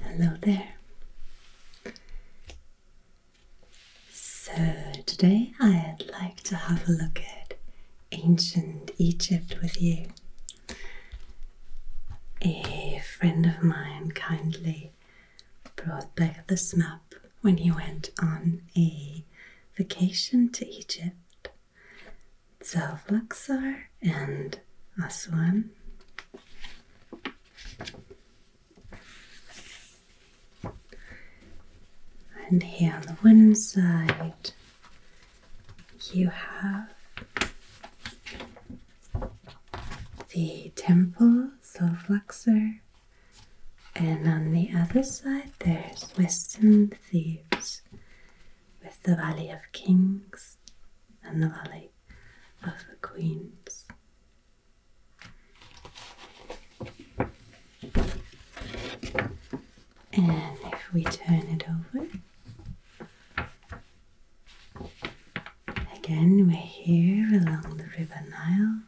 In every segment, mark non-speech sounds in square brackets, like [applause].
Hello there. So, today I'd like to have a look at ancient Egypt with you. A friend of mine kindly brought back this map when he went on a vacation to Egypt. South Luxor and Aswan. And here on the one side, you have the temples of Luxor, and on the other side, there's Western Thebes with the Valley of Kings and the valley of the queens. And if we turn it over, again we're here along the river Nile,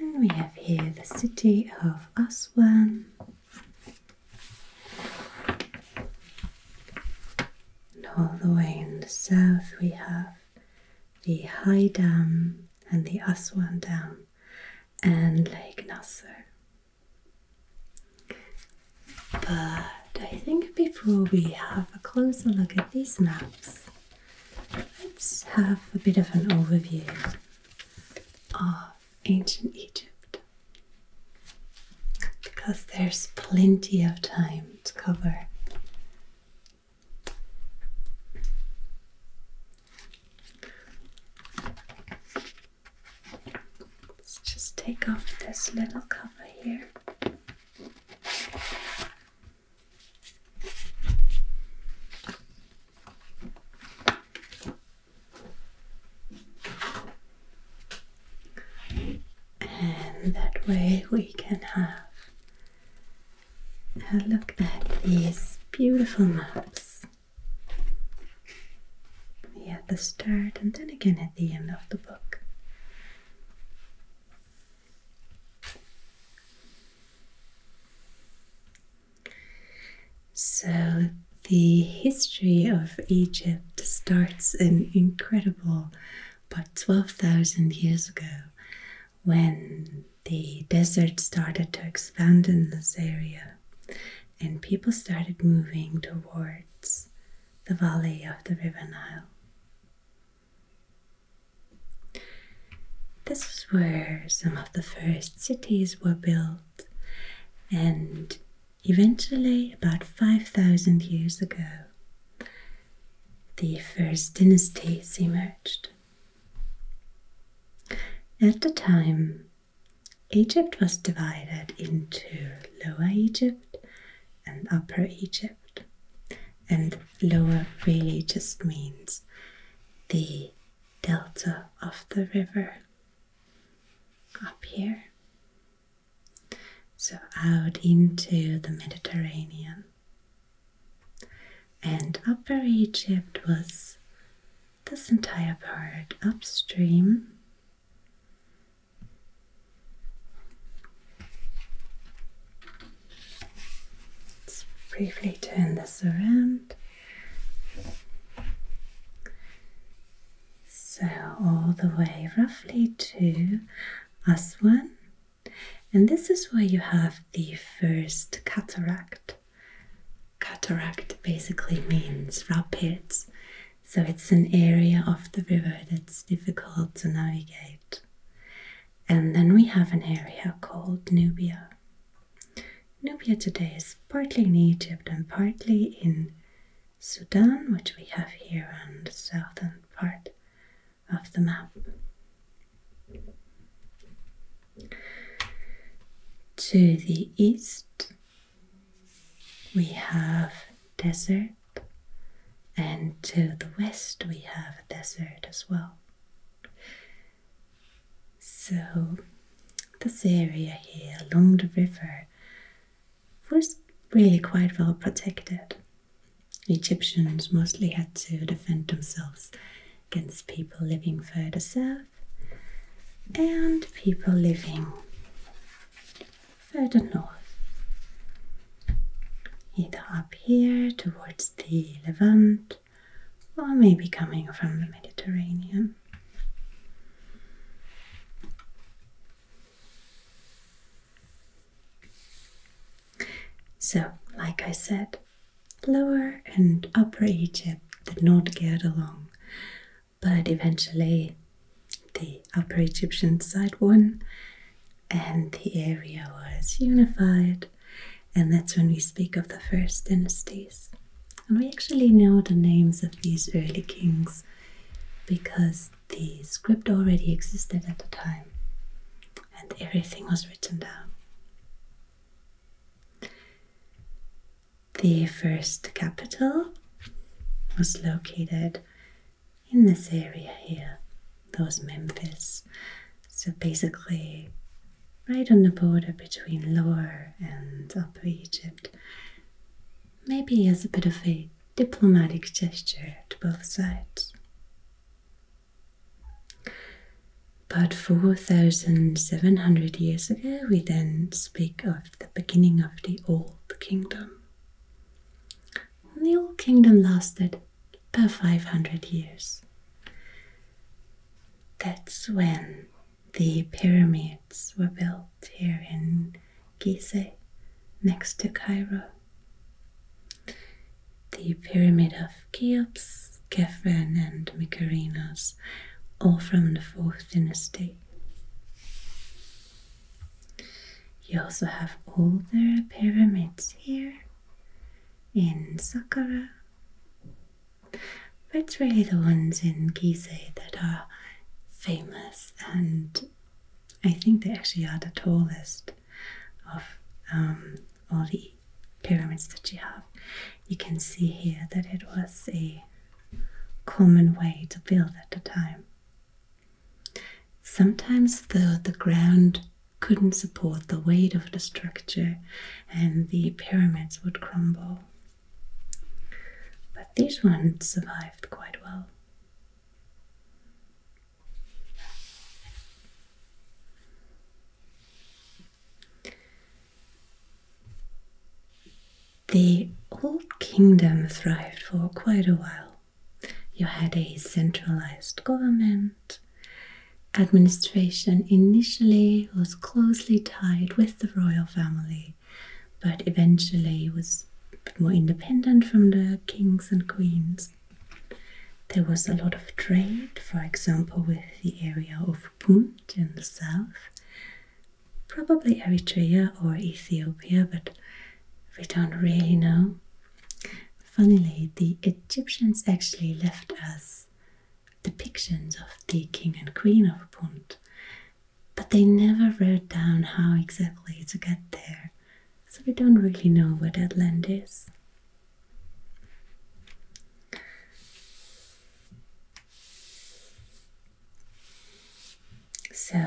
and we have here the city of Aswan and all the way in the south, we have the High Dam and the Aswan Dam and Lake Nasser. But I think before we have a closer look at these maps, let's have a bit of an overview of ancient Egypt because there's plenty of time to cover. Let's just take off this little cover here and that way we can have a look at these beautiful maps yeah, at the start and then again at the end of the book. So, the history of Egypt starts an incredible about 12,000 years ago when the desert started to expand in this area and people started moving towards the valley of the River Nile. This is where some of the first cities were built, and Eventually, about 5,000 years ago, the first dynasties emerged. At the time, Egypt was divided into Lower Egypt and Upper Egypt. And lower really just means the delta of the river up here, so out into the Mediterranean. And Upper Egypt was this entire part upstream. Let's briefly turn this around. So all the way roughly to Aswan. And this is where you have the first cataract. Cataract basically means rapids. So it's an area of the river that's difficult to navigate. And then we have an area called Nubia. Nubia today is partly in Egypt and partly in Sudan, which we have here on the southern part of the map. To the east, we have desert, and to the west, we have desert as well. So, this area here along the river was really quite well protected. Egyptians mostly had to defend themselves against people living further south and people living further north. Either up here towards the Levant or maybe coming from the Mediterranean. So, like I said, Lower and Upper Egypt did not get along, but eventually the Upper Egyptian side won and the area was unified, and that's when we speak of the first dynasties. And we actually know the names of these early kings because the script already existed at the time and everything was written down. The first capital was located in this area here, that was Memphis. So basically, right on the border between Lower and Upper Egypt maybe as a bit of a diplomatic gesture to both sides. But 4,700 years ago, we then speak of the beginning of the Old Kingdom. the Old Kingdom lasted about 500 years. That's when the pyramids were built here in Gizeh next to Cairo. The pyramid of Cheops, Khephren and Mykerinos, all from the 4th dynasty. You also have older pyramids here in Saqqara but it's really the ones in Gizeh that are famous, and I think they actually are the tallest of um, all the pyramids that you have. You can see here that it was a common way to build at the time. Sometimes, though, the ground couldn't support the weight of the structure and the pyramids would crumble. But this one survived quite well. The old kingdom thrived for quite a while. You had a centralized government. Administration initially was closely tied with the royal family, but eventually was more independent from the kings and queens. There was a lot of trade, for example, with the area of Punt in the south, probably Eritrea or Ethiopia, but we don't really know. Funnily, the Egyptians actually left us depictions of the king and queen of Punt, but they never wrote down how exactly to get there, so we don't really know where that land is. So,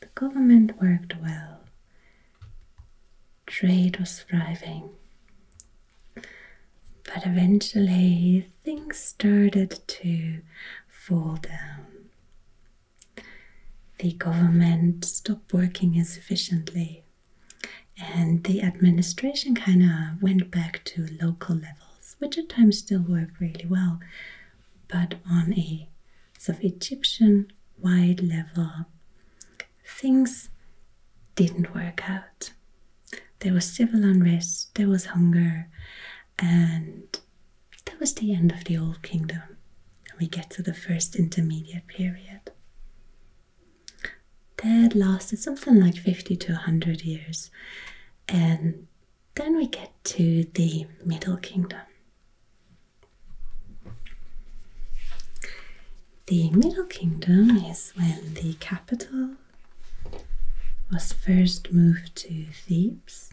the government worked well, trade was thriving, but eventually things started to fall down. The government stopped working as efficiently, and the administration kind of went back to local levels, which at times still worked really well, but on a sort of Egyptian wide level, things didn't work out. There was civil unrest, there was hunger, and that was the end of the Old Kingdom. And we get to the first intermediate period. That lasted something like 50 to 100 years, and then we get to the Middle Kingdom. The Middle Kingdom is when the capital was first moved to Thebes,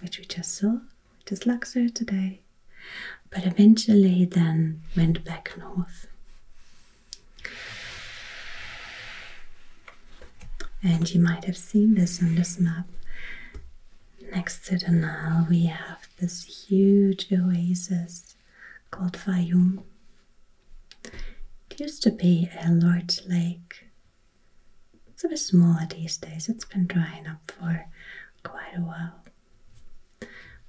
which we just saw, which is Luxor today, but eventually then went back north. And you might have seen this on this map. Next to the Nile, we have this huge oasis called Fayum. It used to be a large lake. It's a bit smaller these days, it's been drying up for quite a while.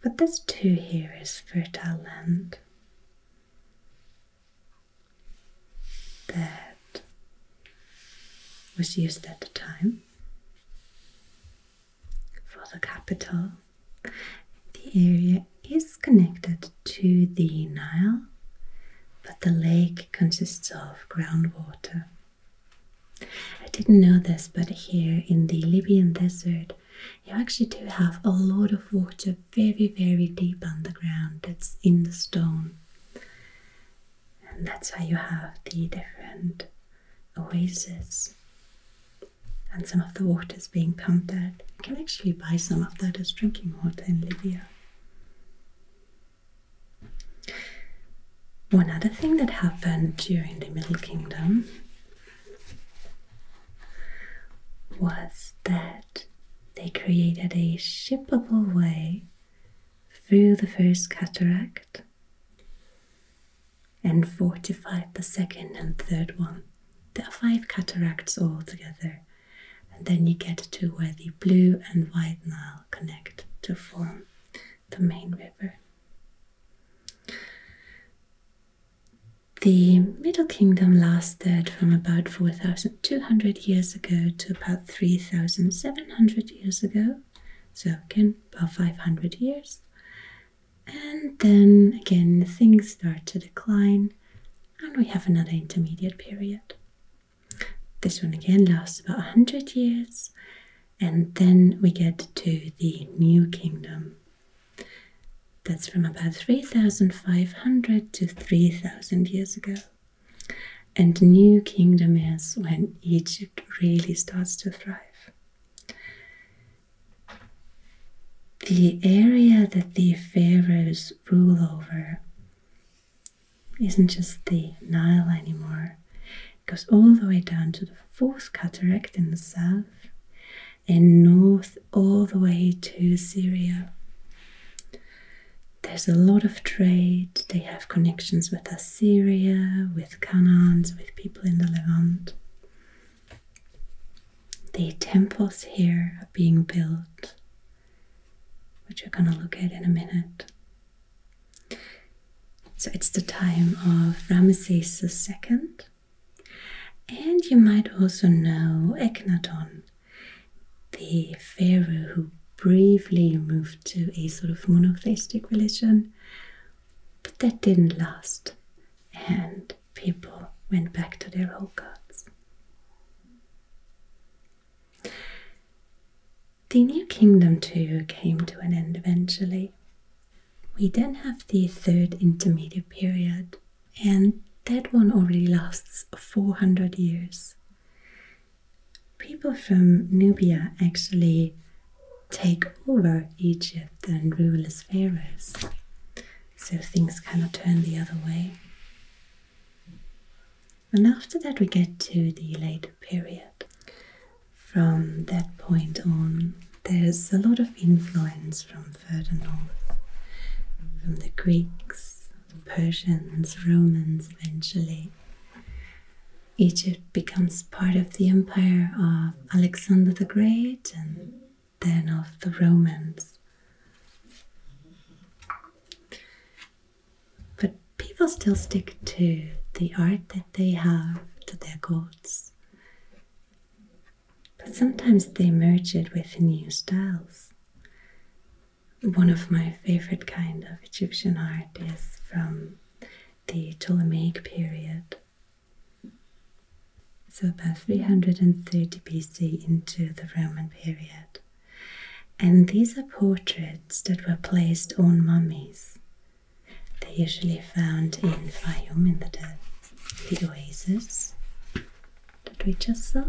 But this too here is fertile land that was used at the time for the capital the area is connected to the Nile, but the lake consists of groundwater. I didn't know this, but here in the Libyan desert, you actually do have a lot of water very, very deep underground that's in the stone. And that's why you have the different oases and some of the water is being pumped out. You can actually buy some of that as drinking water in Libya. One other thing that happened during the Middle Kingdom was that they created a shippable way through the first cataract and fortified the second and third one. There are five cataracts all together, and then you get to where the Blue and White Nile connect to form the main river. The Middle Kingdom lasted from about 4,200 years ago to about 3,700 years ago, so again about 500 years, and then again, things start to decline, and we have another intermediate period. This one again lasts about 100 years, and then we get to the New Kingdom. That's from about 3,500 to 3,000 years ago. And New Kingdom is when Egypt really starts to thrive the area that the pharaohs rule over isn't just the Nile anymore. It goes all the way down to the fourth cataract in the south and north all the way to Syria. There's a lot of trade. They have connections with Assyria, with Canaans, with people in the Levant. The temples here are being built, which we're going to look at in a minute. So it's the time of Ramesses II, and you might also know Akhenaton, the pharaoh who briefly moved to a sort of monotheistic religion, but that didn't last. And people went back to their old gods. The new kingdom too came to an end eventually. We then have the third intermediate period, and that one already lasts 400 years. People from Nubia actually take over Egypt and rule as pharaohs so things cannot turn the other way. And after that, we get to the later period. From that point on, there's a lot of influence from further north, from the Greeks, the Persians, Romans eventually. Egypt becomes part of the empire of Alexander the Great and than of the Romans. But people still stick to the art that they have, to their gods. But sometimes they merge it with new styles. One of my favorite kind of Egyptian art is from the Ptolemaic period so about 330 BC into the Roman period. And these are portraits that were placed on mummies. They're usually found in Fayum, in the, the oasis that we just saw.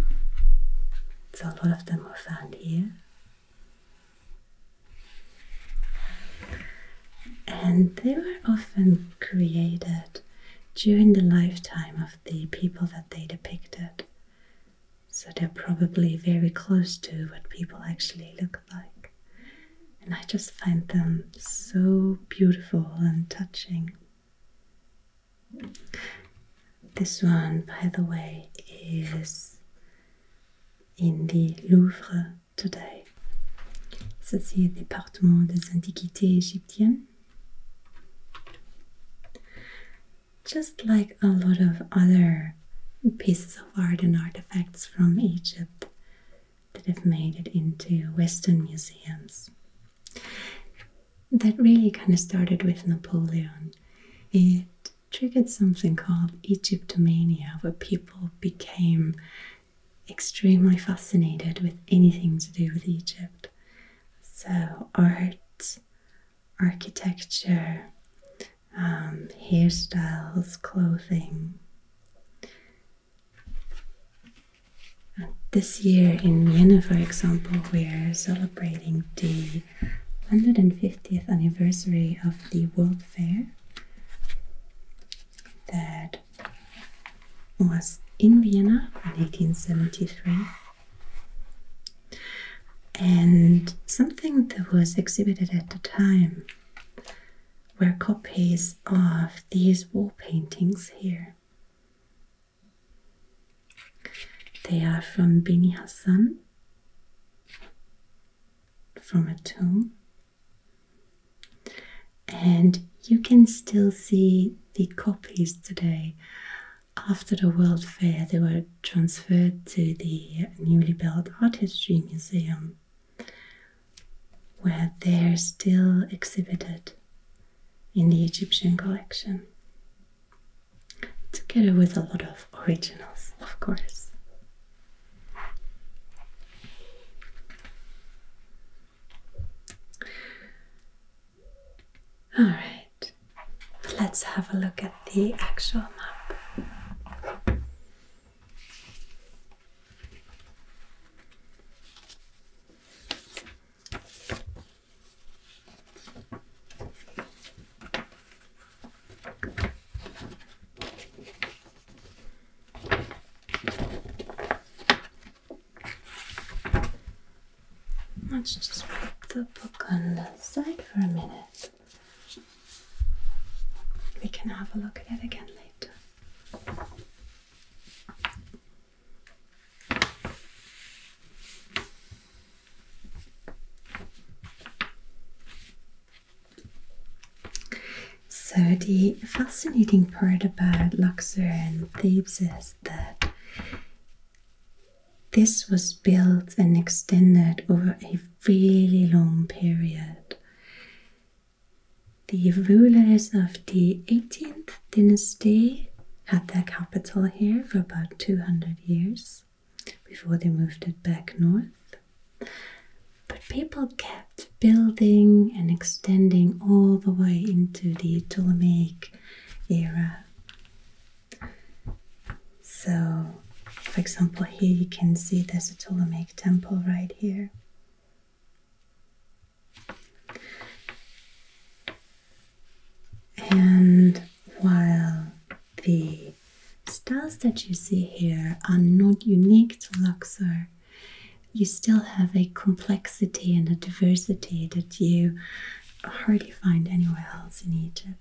So a lot of them were found here. And they were often created during the lifetime of the people that they depicted. So they're probably very close to what people actually look like. And I just find them so beautiful and touching. This one, by the way, is in the Louvre today. Ça, c'est Département des Antiquités égyptiennes. Just like a lot of other pieces of art and artifacts from Egypt that have made it into Western museums. That really kind of started with Napoleon. It triggered something called Egyptomania, where people became extremely fascinated with anything to do with Egypt. So, art, architecture, um, hairstyles, clothing. this year in Vienna, for example, we're celebrating the 150th anniversary of the World Fair that was in Vienna in 1873. And something that was exhibited at the time were copies of these wall paintings here. They are from Beni Hassan, from a tomb, and you can still see the copies today. After the World Fair, they were transferred to the newly built Art History Museum, where they're still exhibited in the Egyptian collection, together with a lot of originals, of course. All right, let's have a look at the actual map. Let's just put the book on the side for a minute. We can have a look at it again later. So, the fascinating part about Luxor and Thebes is that this was built and extended over a really long period. The rulers of the 18th dynasty had their capital here for about 200 years before they moved it back north. But people kept building and extending all the way into the Ptolemaic era. So, for example, here you can see there's a Ptolemaic temple right here. And while the styles that you see here are not unique to Luxor, you still have a complexity and a diversity that you hardly find anywhere else in Egypt.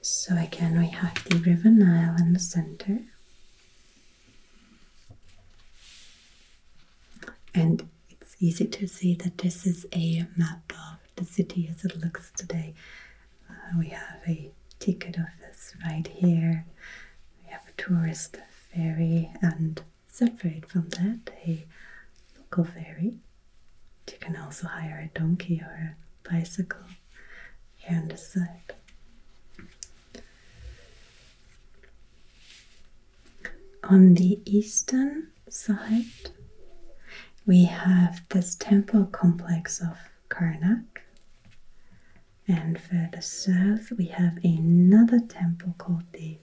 So again, we have the River Nile in the center. And it's easy to see that this is a map of the city as it looks today. Uh, we have a ticket office right here, we have a tourist ferry, and separate from that, a local ferry. You can also hire a donkey or a bicycle here on this side. On the eastern side, we have this temple complex of Karnak, and further south, we have another temple called the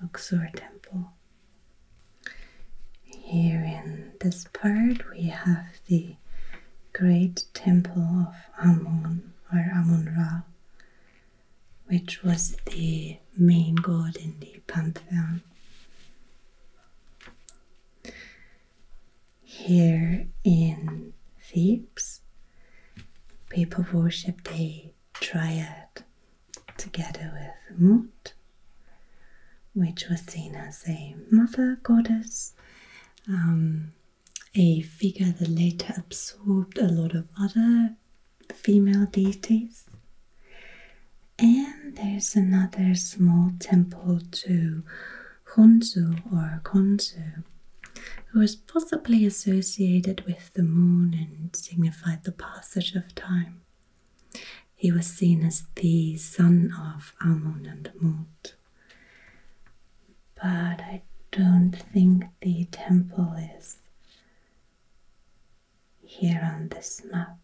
Luxor Temple. Here in this part, we have the great temple of Amun or Amun Ra, which was the main god in the pantheon. Here in Thebes, people worshipped a triad together with Mut, which was seen as a mother goddess, um, a figure that later absorbed a lot of other female deities. And there's another small temple to Khonsu or Khonsu, who was possibly associated with the moon and signified the passage of time. He was seen as the son of Amun and Mut. But I don't think the temple is here on this map.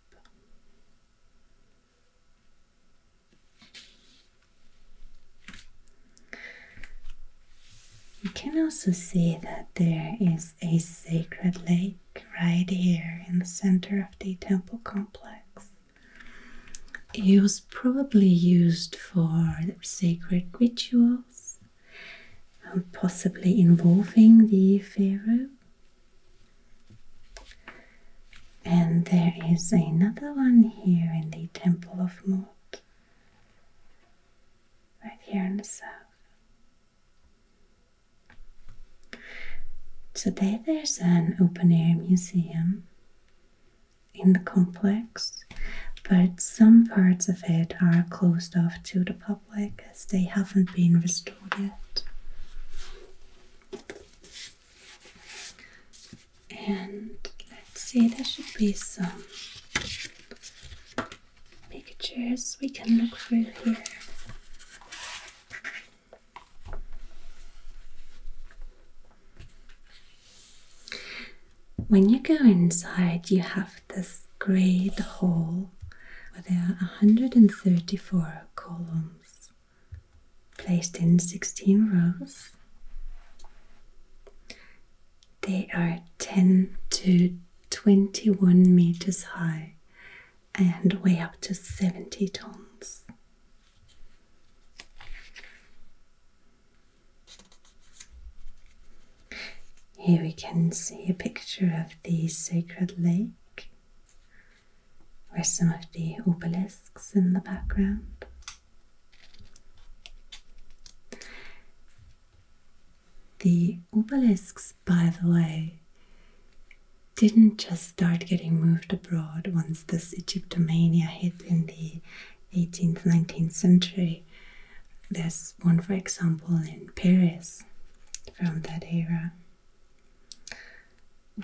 You can also see that there is a sacred lake right here in the center of the temple complex. It was probably used for sacred rituals possibly involving the pharaoh. And there is another one here in the Temple of Mut, right here in the south. Today there's an open air museum in the complex, but some parts of it are closed off to the public as they haven't been restored yet. And let's see, there should be some pictures we can look through here. When you go inside, you have this great hall where there are 134 columns placed in 16 rows. They are 10 to 21 meters high and weigh up to 70 tons. Here we can see a picture of the sacred lake with some of the obelisks in the background. The obelisks, by the way, didn't just start getting moved abroad once this Egyptomania hit in the 18th, 19th century. There's one, for example, in Paris from that era.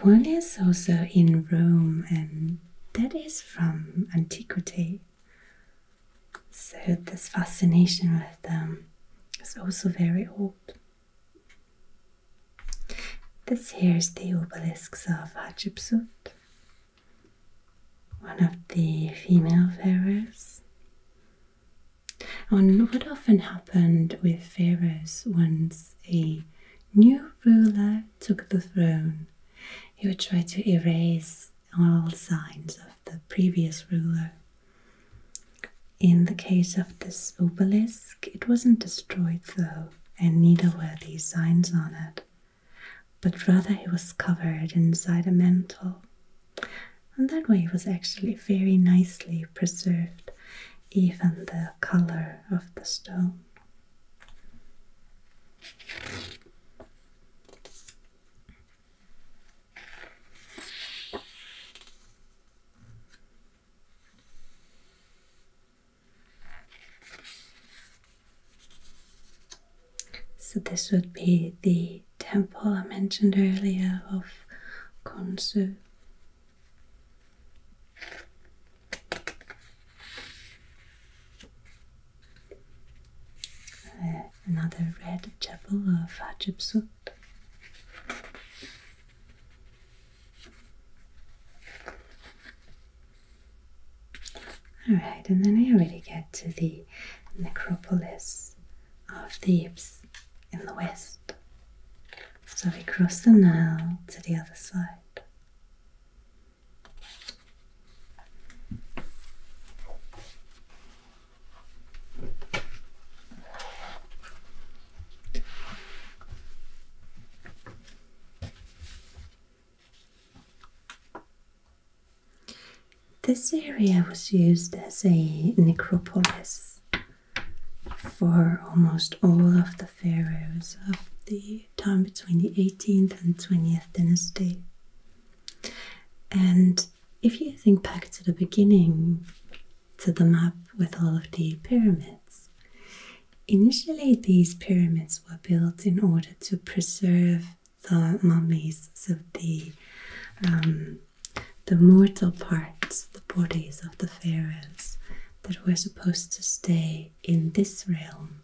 One is also in Rome, and that is from antiquity. So, this fascination with them is also very old. This here is the obelisks of Hatshepsut one of the female pharaohs. And what often happened with pharaohs once a new ruler took the throne, he would try to erase all signs of the previous ruler. In the case of this obelisk, it wasn't destroyed though, and neither were these signs on it but rather he was covered inside a mantle. And that way it was actually very nicely preserved, even the color of the stone. So this would be the temple I mentioned earlier of Khonsu. Uh, another red chapel of Hatshepsut. Alright, and then I already get to the necropolis of Thebes in the west. So we cross the Nile to the other side. This area was used as a necropolis for almost all of the pharaohs of the time between the 18th and 20th dynasty. And if you think back to the beginning, to the map with all of the pyramids, initially these pyramids were built in order to preserve the mummies of the um, the mortal parts, the bodies of the pharaohs that were supposed to stay in this realm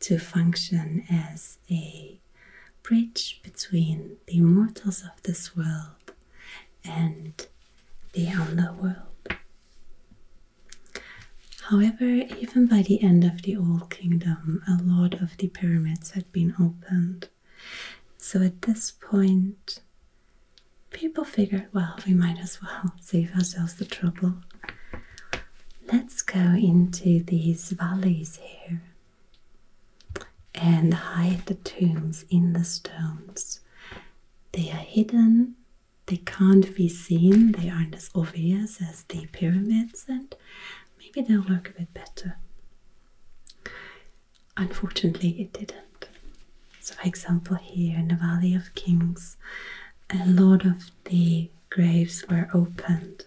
to function as a bridge between the immortals of this world and the underworld. However, even by the end of the Old Kingdom, a lot of the pyramids had been opened. So at this point, people figured, well, we might as well [laughs] save ourselves the trouble. Let's go into these valleys here and hide the tombs in the stones. They are hidden, they can't be seen, they aren't as obvious as the pyramids, maybe they'll work a bit better. Unfortunately, it didn't. So, for example, here in the Valley of Kings, a lot of the graves were opened,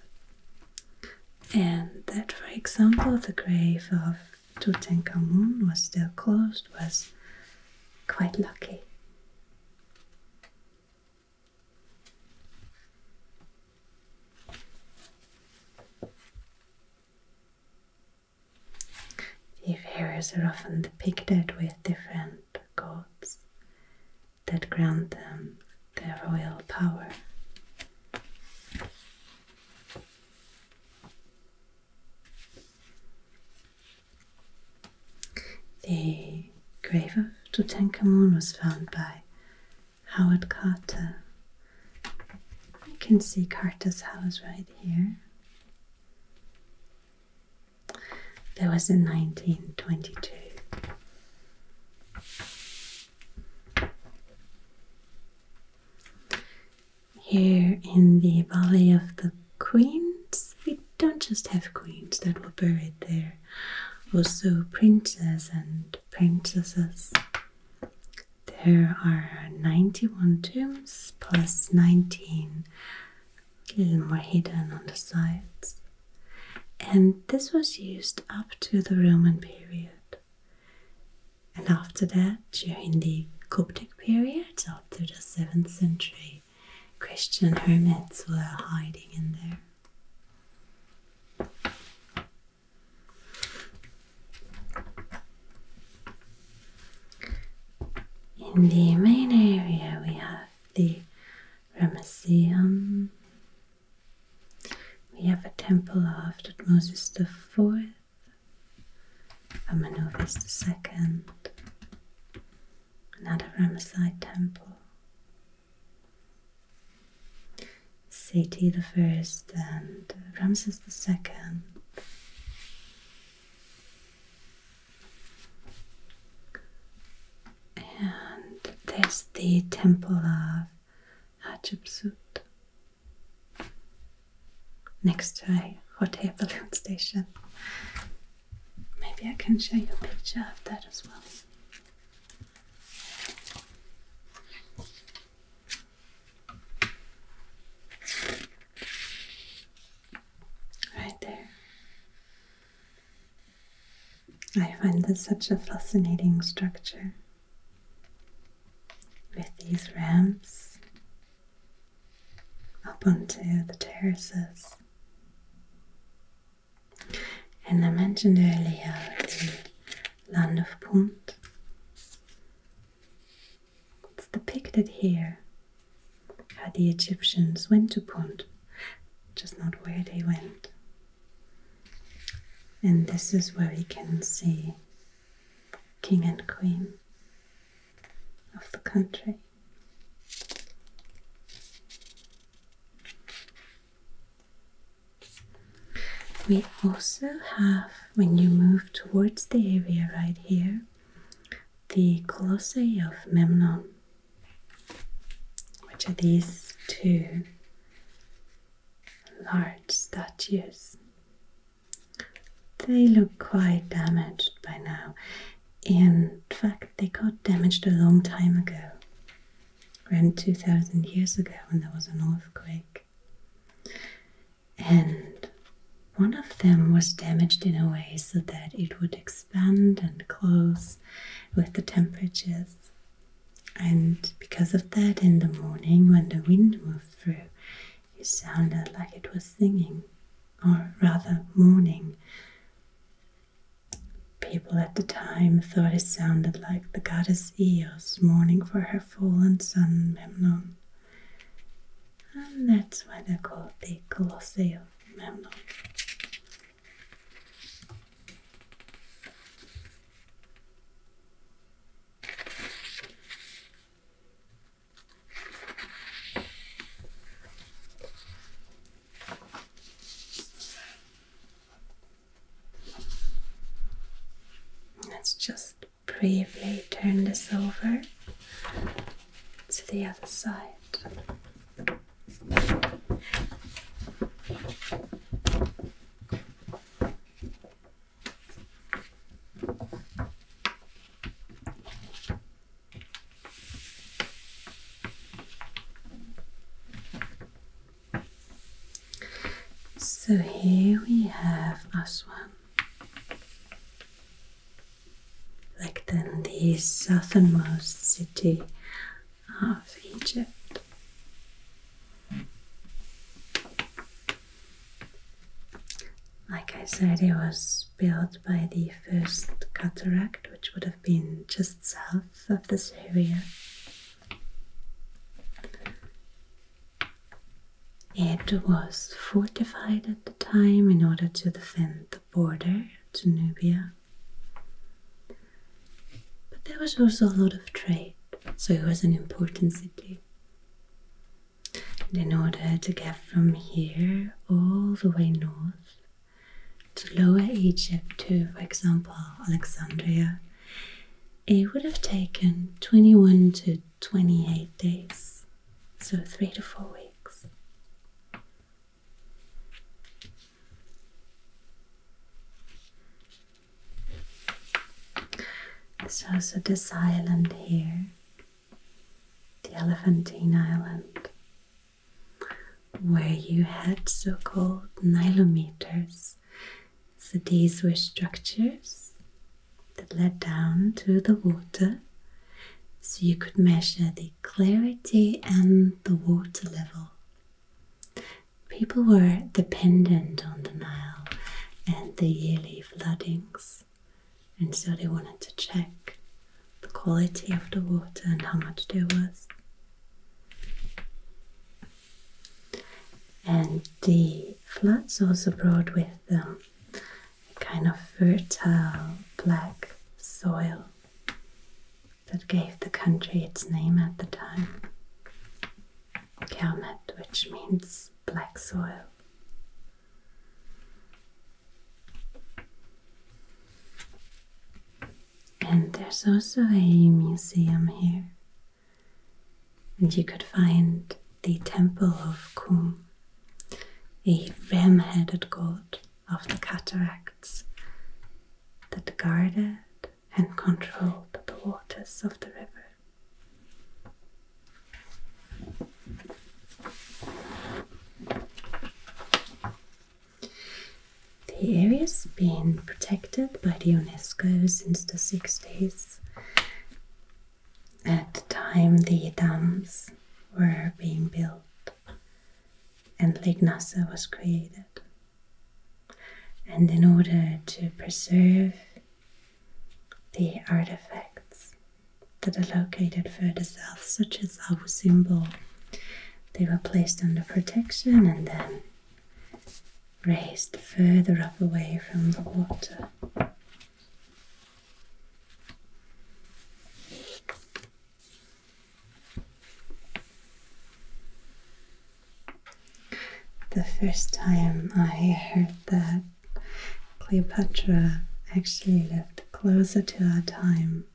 and that, for example, the grave of Tutankhamun was still closed was quite lucky. The pharaohs are often depicted with different gods that grant them their royal power. The grave of Tutankhamun was found by Howard Carter. You uh, can see Carter's house right here. That was in 1922. Here in the Valley of the Queens, we don't just have queens that were buried there, also princes and princesses. There are 91 tombs plus 19 a little more hidden on the sides. And this was used up to the Roman period. And after that, during the Coptic period, after the 7th century, Christian hermits were hiding in there. In the main area, we have the Ramesseum. We have a temple of Thutmosis IV, Amenophis II. another Ramesside temple, Seti First and Ramses Second, And there's the temple of Hatshepsut next to a hot air [laughs] balloon station. Maybe I can show you a picture of that as well. Right there. I find this such a fascinating structure with these ramps up onto the terraces and I mentioned earlier the land of Punt. It's depicted here how the Egyptians went to Punt, just not where they went. And this is where we can see king and queen of the country. We also have, when you move towards the area right here, the Colossae of Memnon, which are these two large statues. They look quite damaged by now. In fact, they got damaged a long time ago around 2000 years ago when there was an earthquake. And one of them was damaged in a way so that it would expand and close with the temperatures. And because of that, in the morning when the wind moved through, it sounded like it was singing, or rather, mourning. People at the time thought it sounded like the goddess Eos mourning for her fallen son Memnon, and that's why they called the Colosseum Memnon. Let's just briefly turn this over to the other side. So here we have Aswan. Like then the southernmost city of Egypt. Like I said, it was built by the first cataract, which would have been just south of this area. It was fortified at the time in order to defend the border to Nubia. But there was also a lot of trade, so it was an important city. in order to get from here all the way north to Lower Egypt, to, for example, Alexandria, it would have taken 21 to 28 days, so three to four weeks. So, also this island here, the Elephantine Island where you had so-called nilometers. So these were structures that led down to the water so you could measure the clarity and the water level. People were dependent on the Nile and the yearly floodings, and so they wanted to check the quality of the water and how much there was. And the floods also brought with them a kind of fertile black soil that gave the country its name at the time, Kermet, which means black soil. And there's also a museum here. And you could find the temple of Kum, a ram headed god of the cataracts that guarded and controlled the waters of the river. The area's been protected by the UNESCO since the 60s. At the time, the dams were being built and Lake Nassa was created. And in order to preserve the artifacts that are located further south, such as our symbol, they were placed under protection and then raised further up away from the water. The first time I heard that Cleopatra actually lived closer to our time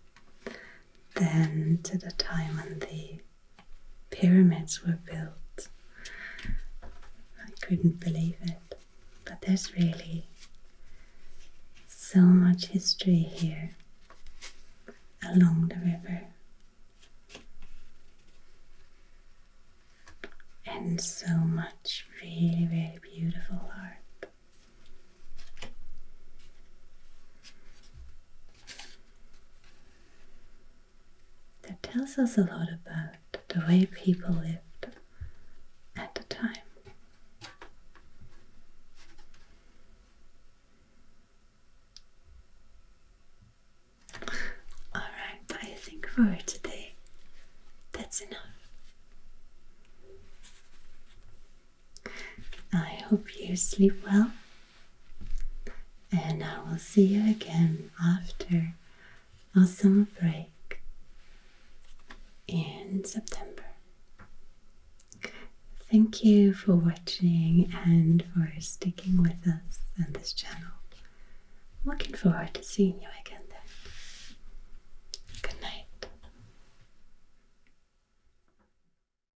than to the time on the pyramids were built. I couldn't believe it. But there's really so much history here along the river. And so much really, really beautiful art. That tells us a lot about the way people lived at the time. Alright, I think for today that's enough. I hope you sleep well, and I will see you again after our summer break in September. Thank you for watching and for sticking with us on this channel. Looking forward to seeing you again then. Good night.